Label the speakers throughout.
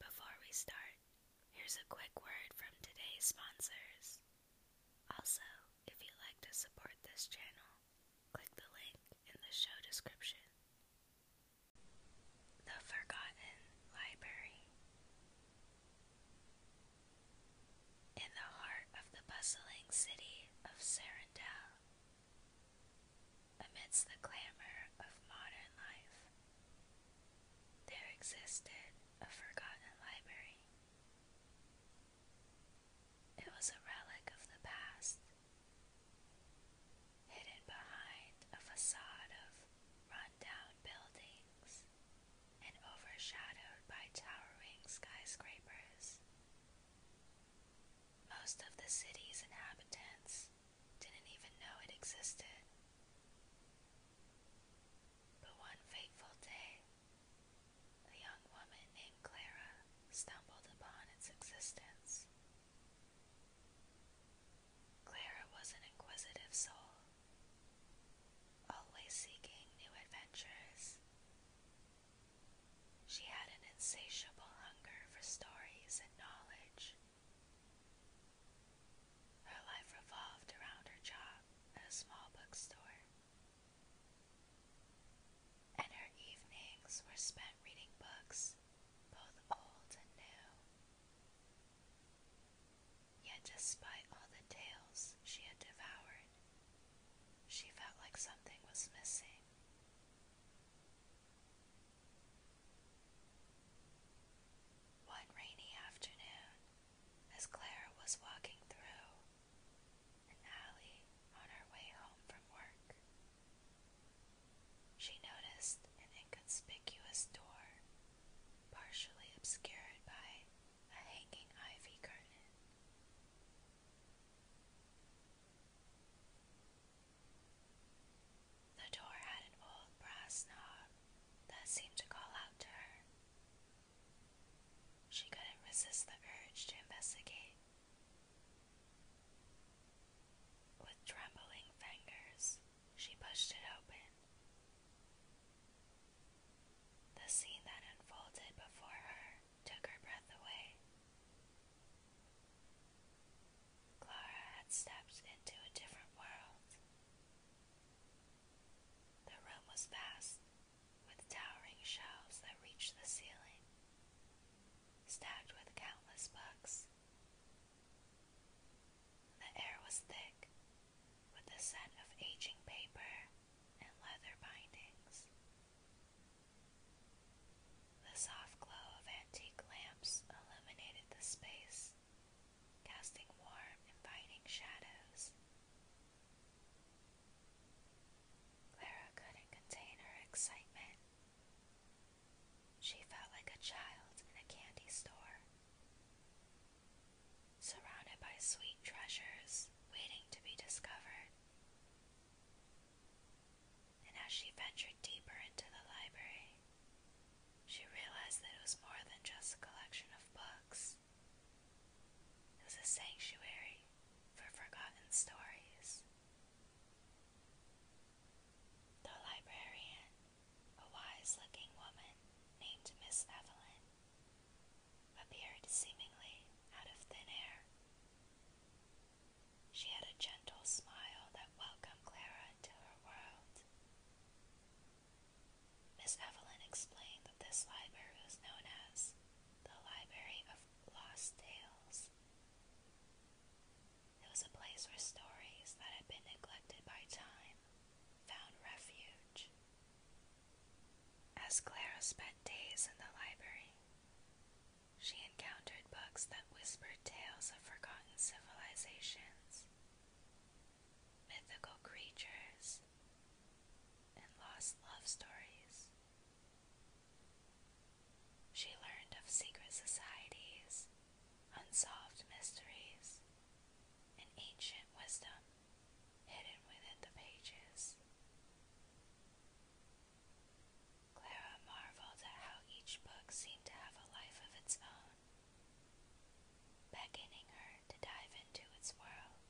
Speaker 1: Before we start, here's a quick word from today's sponsors. Also, if you'd like to support this channel, click the link in the show description. The Forgotten Library. In the heart of the bustling city of Sarandel, amidst the clamor of modern life, there existed a forgotten library. It was a relic of the past, hidden behind a facade of rundown buildings and overshadowed by towering skyscrapers. Most of the city's inhabitants didn't even know it existed. But one fateful day, a young woman named Clara stumbled upon its existence. Clara was an inquisitive soul, always seeking new adventures. She had an insatiable hunger for stories and knowledge. Her life revolved around her job at a small bookstore, and her evenings were spent reading books, both old and new. Yet, despite all the tales she had devoured, she felt like something was missing. One rainy afternoon, as Clara was walking through an alley on her way home from work, she noticed an inconspicuous door partially obscured by a hanging ivy curtain. The door had an old brass knob that seemed to call out to her. She couldn't resist the urge to investigate. With trembling fingers, she pushed it open. The scene that unfolded before her took her breath away. Clara had stepped into a different world. The room was vast, with towering shelves that reached the ceiling, stacked with countless books. The air was thick, with the scent of aging paper and leather bindings. The soft glow of antique lamps illuminated the space, casting warm, inviting shadows. Clara couldn't contain her excitement. She felt like a child in a candy store, surrounded by sweet treasures waiting to be discovered and as she ventured deeper into the library, she realized that it was more than just a collection of books. It was a sanctuary for forgotten stories. The librarian, a wise looking woman named Miss Evelyn, appeared seemingly out of thin air. She had a gentle smile that welcomed Clara into her world. Miss Evelyn explained that this library was known as the Library of Lost Tales. It was a place where stories that had been neglected by time found refuge. As Clara spent days in the library, she encountered books that whispered tales of forgotten civilizations, mythical creatures, and lost love stories. She learned of secret societies, unsolved mysteries, and ancient wisdom hidden within the pages. Clara marveled at how each book seemed to have a life of its own, beckoning her to dive into its world.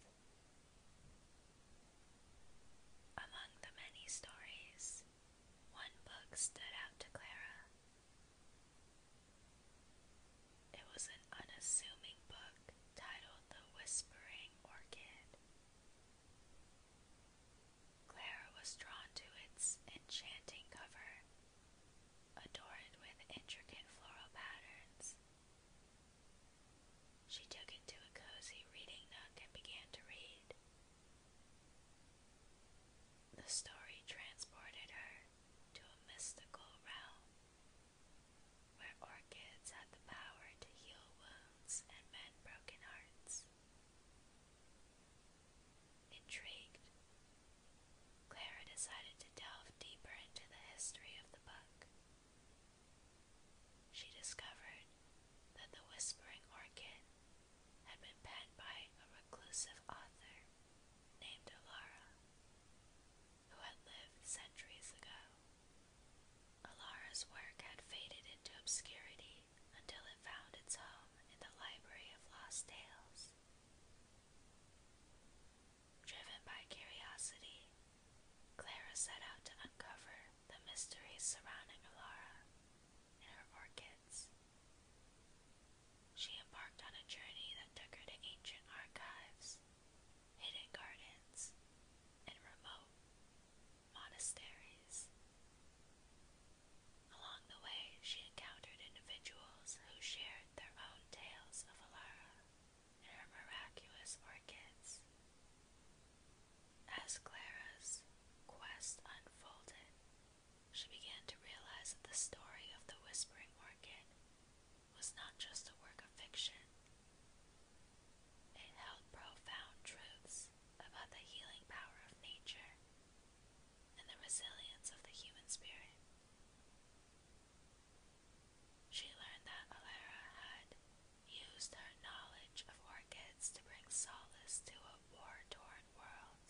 Speaker 1: Among the many stories, one book stood out to Clara. It was an unassuming book titled The Whispering Orchid. Clara was drawn to its enchanting cover, adorned with intricate floral patterns. She took it to a cozy reading nook and began to read. The story transported her to a mystical realm where orchids had the power to heal wounds and mend broken hearts. Intrigued, Clara decided to delve deeper into the history of the book. She discovered that The Whispering Orchid had been penned by a reclusive author named Alara, who had lived centuries ago. Alara's work had faded into obscurity until it found its home in the Library of Lost Tales. Driven by curiosity, Clara set out to uncover the mysteries surrounding Alara and her orchids. She embarked on a journey that took her to ancient archives, hidden gardens, and remote monasteries. Along the way, she encountered individuals who shared their own tales of Alara and her miraculous orchids. As Clara's quest unfolded, she began to realize that the story of the Whispering Orchid was not just a work of fiction. It held profound truths about the healing power of nature and the resilience of the human spirit. She learned that Alara had used her knowledge of orchids to bring solace to a war-torn world,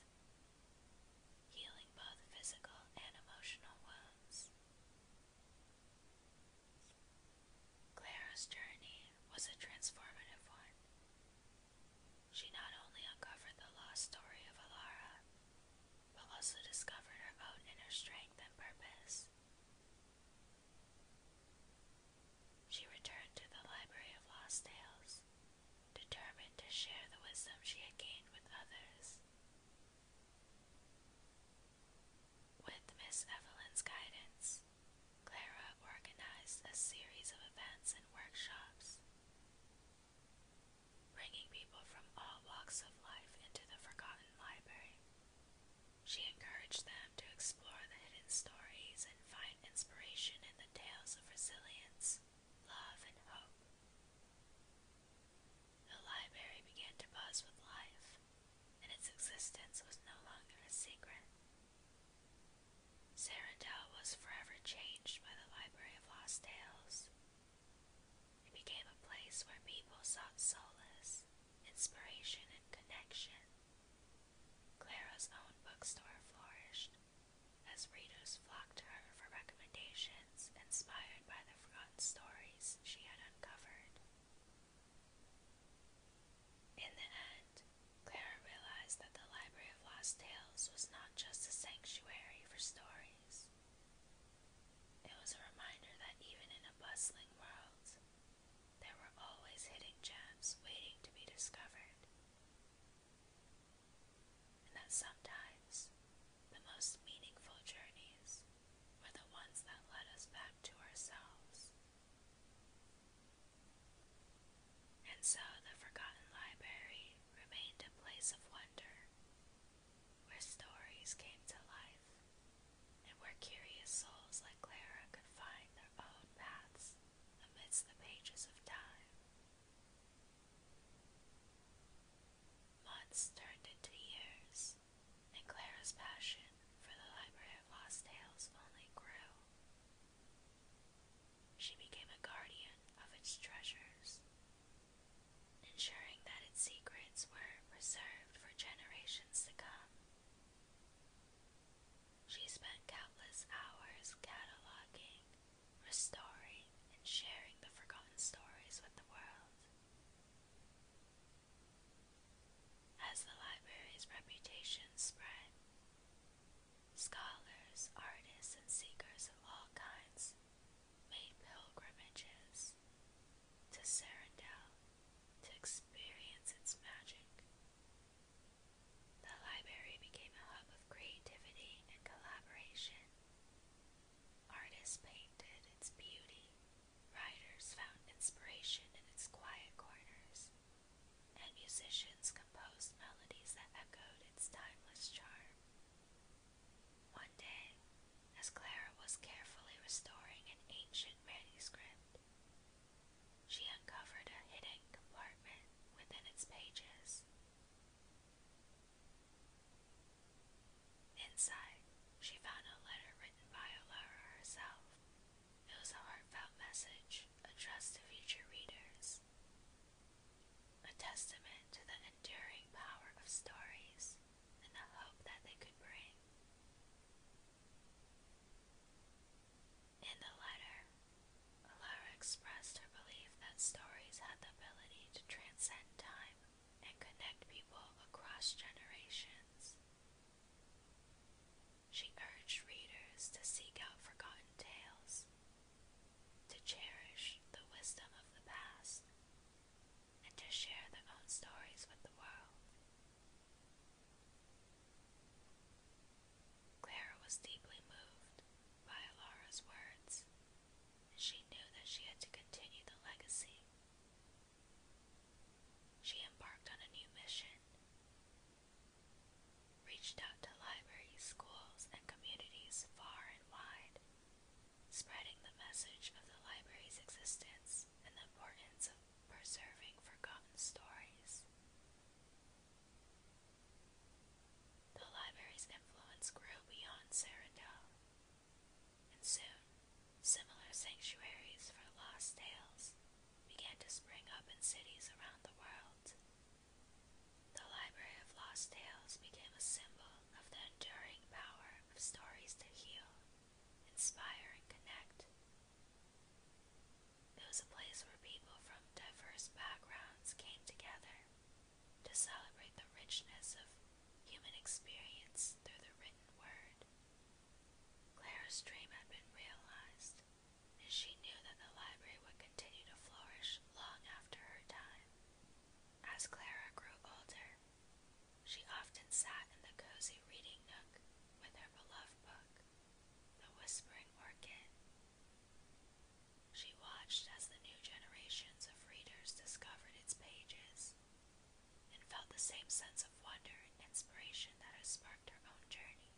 Speaker 1: healing both physical and emotional wounds. Clara's journey was a transformative one, she not only uncovered the lost story of Alara, but also discovered her own inner strength and purpose. She returned to the Library of Lost Tales, determined to share the wisdom she had gained with others. With Miss Evelyn's guidance, Clara organized a series of events and workshops bringing people from all walks of life into the forgotten library. She encouraged them to explore the hidden stories and find inspiration in the tales of resilience, love, and hope. The library began to buzz with life, and its existence was no longer a secret. Sarandel was forever changed by the Library of Lost Tales. It became a place where people sought solace, inspiration, and connection. Clara's own bookstore flourished as readers flocked to her for recommendations inspired by the forgotten stories she had uncovered. In the end, Clara realized that the Library of Lost Tales was not just a sanctuary for stories. It was a reminder that even in a bustling world, there were always hidden gems waiting to be discovered, and that sometimes the most meaningful journeys were the ones that led us back to ourselves. And so the forgotten library remained a place of wonder, where stories came to life, and where curious souls like Clara could find their own paths amidst the pages of time. Months turned into years, and Clara's passion for the Library Lost Tales only grew. She became a guardian of its treasures, ensuring that its secrets were preserved for generations to come. She spent countless hours cataloging, restoring, and sharing the forgotten stories with the world. As the library's reputation spread, Scholars, artists, and seekers of all kinds made pilgrimages to Serendel to experience its magic. The library became a hub of creativity and collaboration. Artists painted its beauty, writers found inspiration in its quiet corners, and musicians composed melodies that echoed its timeless charm. One day, as Clara was carefully restoring an ancient manuscript, she uncovered a hidden compartment within its pages. Inside, she found a letter written by Alara herself. It was a heartfelt message addressed to future readers. A testament to the enduring power of stories and the hope that they could bring. In the letter, Alara expressed her belief that stories had the ability to transcend time and connect people across generations. She urged readers to seek out forgotten tales, to cherish the wisdom of the past, and to share their own stories with the world. Clara was deeply moved by Laura's words, and she knew that she had to continue the legacy. She embarked on a new mission reached out to libraries, schools, and communities far and wide, spreading the message of the library's existence and the importance of preserving forgotten stories. The library's influence grew beyond Sarandell, and soon similar sanctuaries for lost tales began to spring up in cities around the world. The Library of Lost Tales became a symbol of the enduring power of stories to heal, inspire, and connect. It was a place where people from diverse backgrounds came together to celebrate the richness of human experience through the written word. Clara's dream had been realized and she knew that the library would continue to flourish long after her time. As Clara grew older, she often sat in the cozy reading nook with her beloved book, The Whispering Orchid. She watched as the new generations of readers discovered its pages and felt the same sense of wonder and inspiration that had sparked her own journey.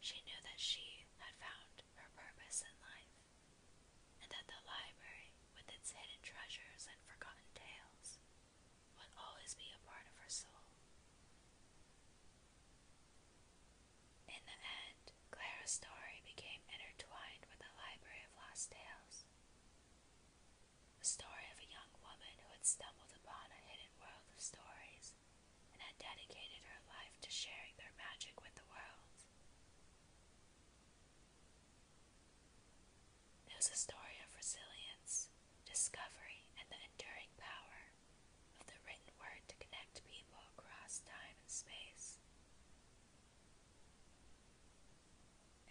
Speaker 1: She knew that she had found her purpose in life, and that the library, with its hidden treasures and forgotten tales, would always be a part of her soul. In the end, Clara's story became intertwined with the Library of Lost Tales. The story of a young woman who had stumbled upon a hidden world of stories and had dedicated her life to sharing their magic with the world. It was a story of resilience, discovery, and the enduring power of the written word to connect people across time and space.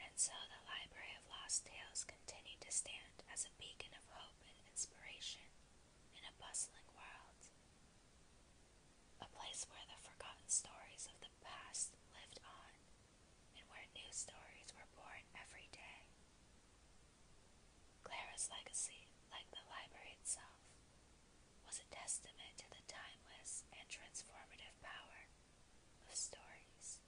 Speaker 1: And so the Library of Lost Tales continued to stand as a beacon of hope and inspiration in a bustling world, a place where the forgotten stories of the past lived on and where new stories were born every day. Clara's legacy, like the library itself, was a testament to the timeless and transformative power of stories.